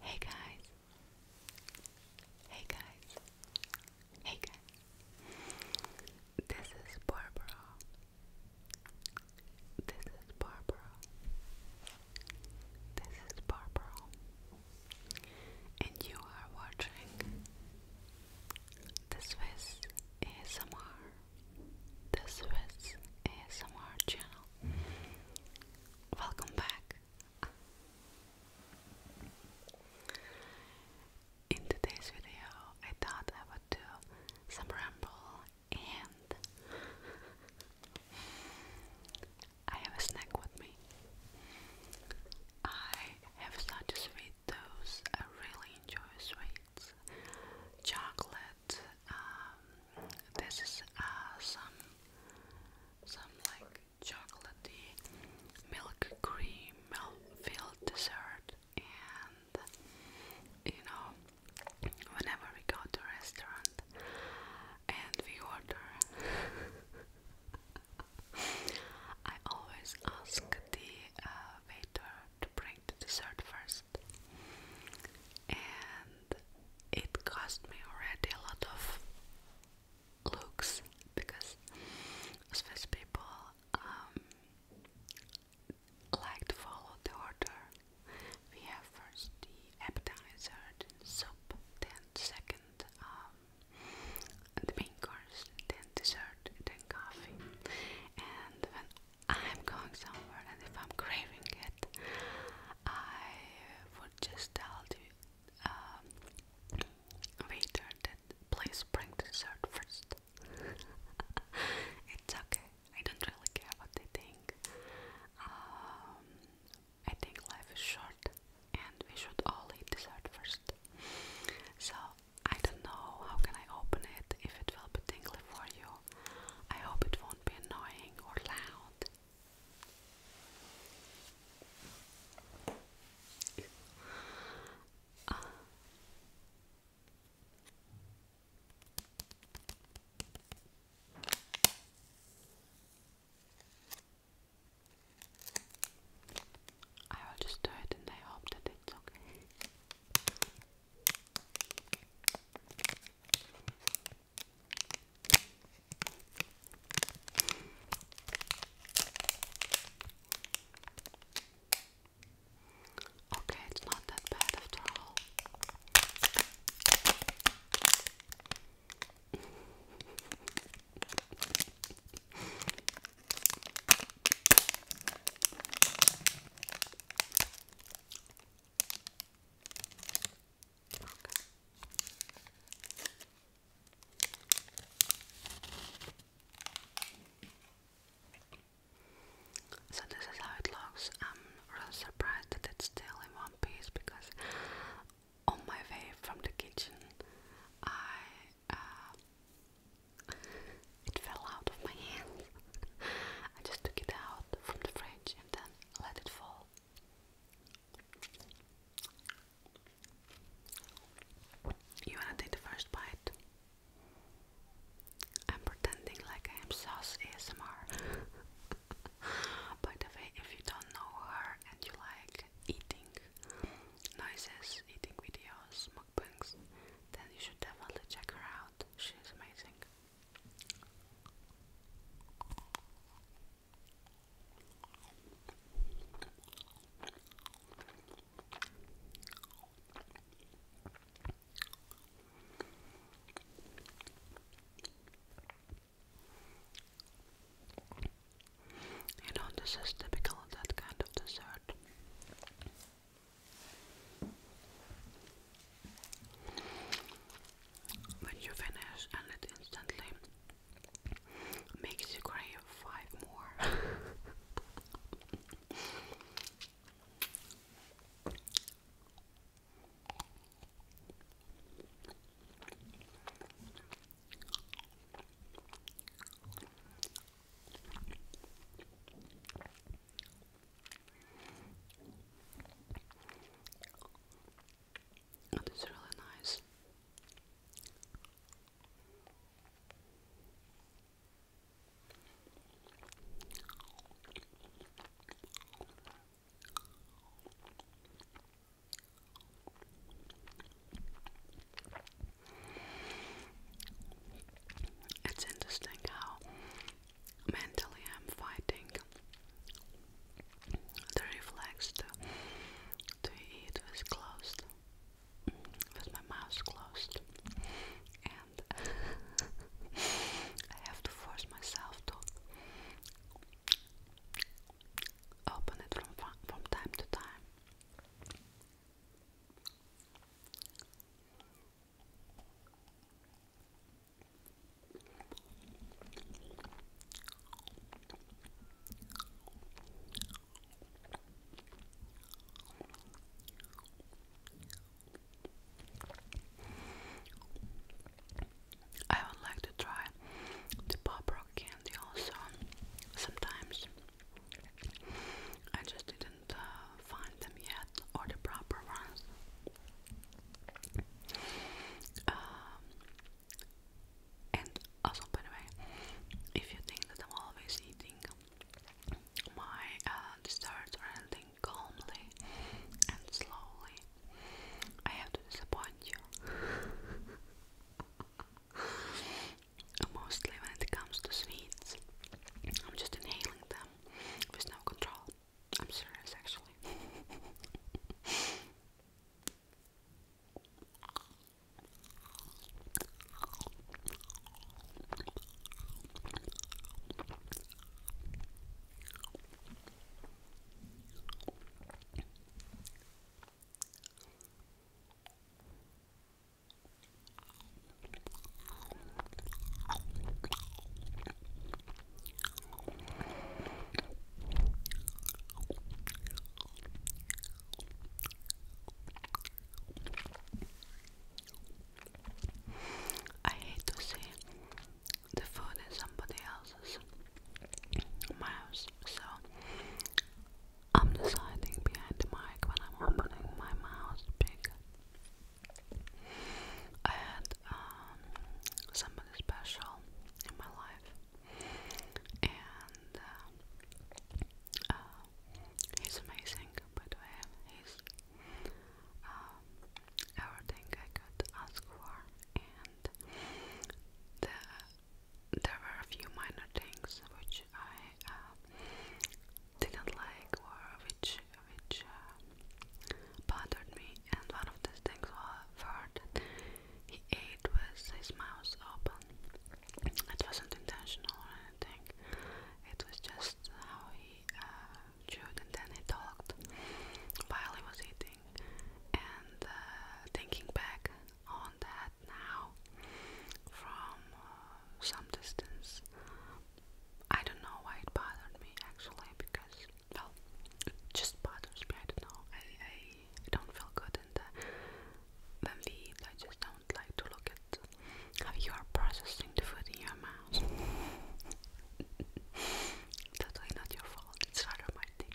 Hey guys. Hey guys. Hey guys. This is Barbara. This is Barbara. This is Barbara. And you are watching the Swiss ASMR the Swiss ASMR channel. Welcome back. In today's video, I thought I would do some ramble and I have a snack with me. I have such a sweet dose. I really enjoy sweet chocolate. Um, this is uh, some some like chocolatey milk cream filled dessert, and you know, whenever we go to a restaurant and we order. I always ask the uh, waiter to bring the dessert first. And it cost me already a lot of looks because Swiss people um, like to follow the order. We have first the appetizer, soup, then second um, the main course, then dessert, then coffee. And when I'm going somewhere and if I'm craving it, I would just tell the um, waiter that please bring dessert first. it's okay. I don't really care what they think. Um, I think life is short and we should all eat dessert first. So I don't know how can I open it if it will be tingly for you. I hope it won't be annoying or loud. I will just do it and I hope that it's okay. Okay, it's not that bad after all. So this is how it looks. I'm really surprised that it's still in one piece because on my way from the kitchen I uh, it fell out of my hand. I just took it out from the fridge and then let it fall. You wanna take the first bite? I'm pretending like I am sauce ASMR. By the way, if you don't know her and you like eating noises, eating videos, mukbangs, then you should definitely check her out. She amazing. You know, this is typical of that kind of dessert. When you finish, and it instantly makes you crave five more. And oh, it's really nice. It's interesting how mentally I'm fighting the reflex to to eat with closed with my mouth closed and I have to force myself to open it from from time to time I would like to try the pop rock and also sometimes I just didn't uh, find them yet or the proper ones. Um, and also, by the way, if you think that I'm always eating my uh, desserts or anything calmly and slowly, I have to disappoint you. Mostly when it comes to sweets, I'm just inhaling them with no control. I'm serious actually. I hate to say the food is somebody else's mouse. So I'm deciding behind the mic when I'm opening my mouth big. I had um, somebody special in my life, and uh, uh, he's amazing. By the way, he's um, everything I could ask for, there were a few minor things which I uh, didn't like or which which uh, bothered me, and one of these things was that he ate with his mouth open. It wasn't intentional or anything. It was just how he uh, chewed and then he talked while he was eating. And uh, thinking back on that now from uh, some distance, I don't know why it bothered me actually because, well, it just bothers me. I don't know. I, I don't feel good in the, when we eat. I just don't like to look at how you are processing the food in your mouth. Totally not your fault. It's rather my thing.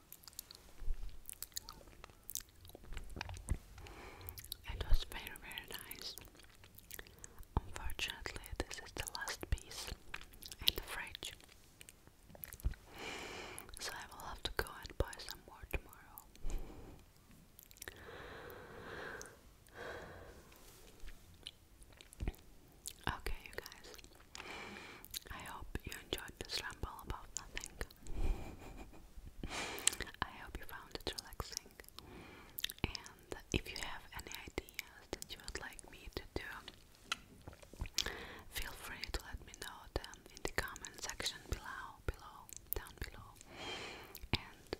It was very, very nice. Unfortunately, this is the last piece in the fridge, so I will have to go and buy some more tomorrow. Okay, you guys, I hope you enjoyed this ramble about nothing. I hope you found it relaxing. And if you have any ideas that you would like me to do, feel free to let me know them in the comment section below, below, down below. And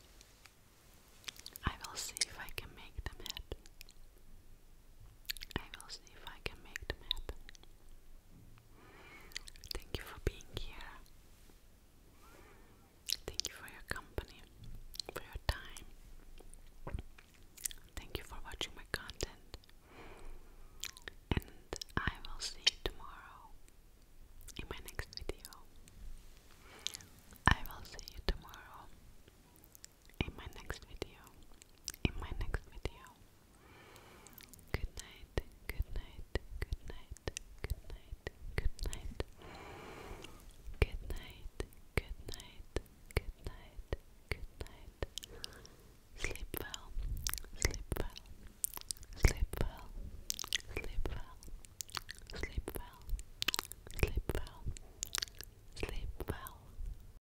I will see if I can make them happen. I will see if I can make them happen. Thank you for being here. Thank you for your company, for your time. Thank you for watching my content. And I will see you tomorrow in my next video. I will see you tomorrow in my next video. In my next video. Good night, good night, good night, good night, good night. Good night, good night, good night, good night. Sleep well, sleep well, sleep well, sleep well, sleep well, sleep well, sleep well.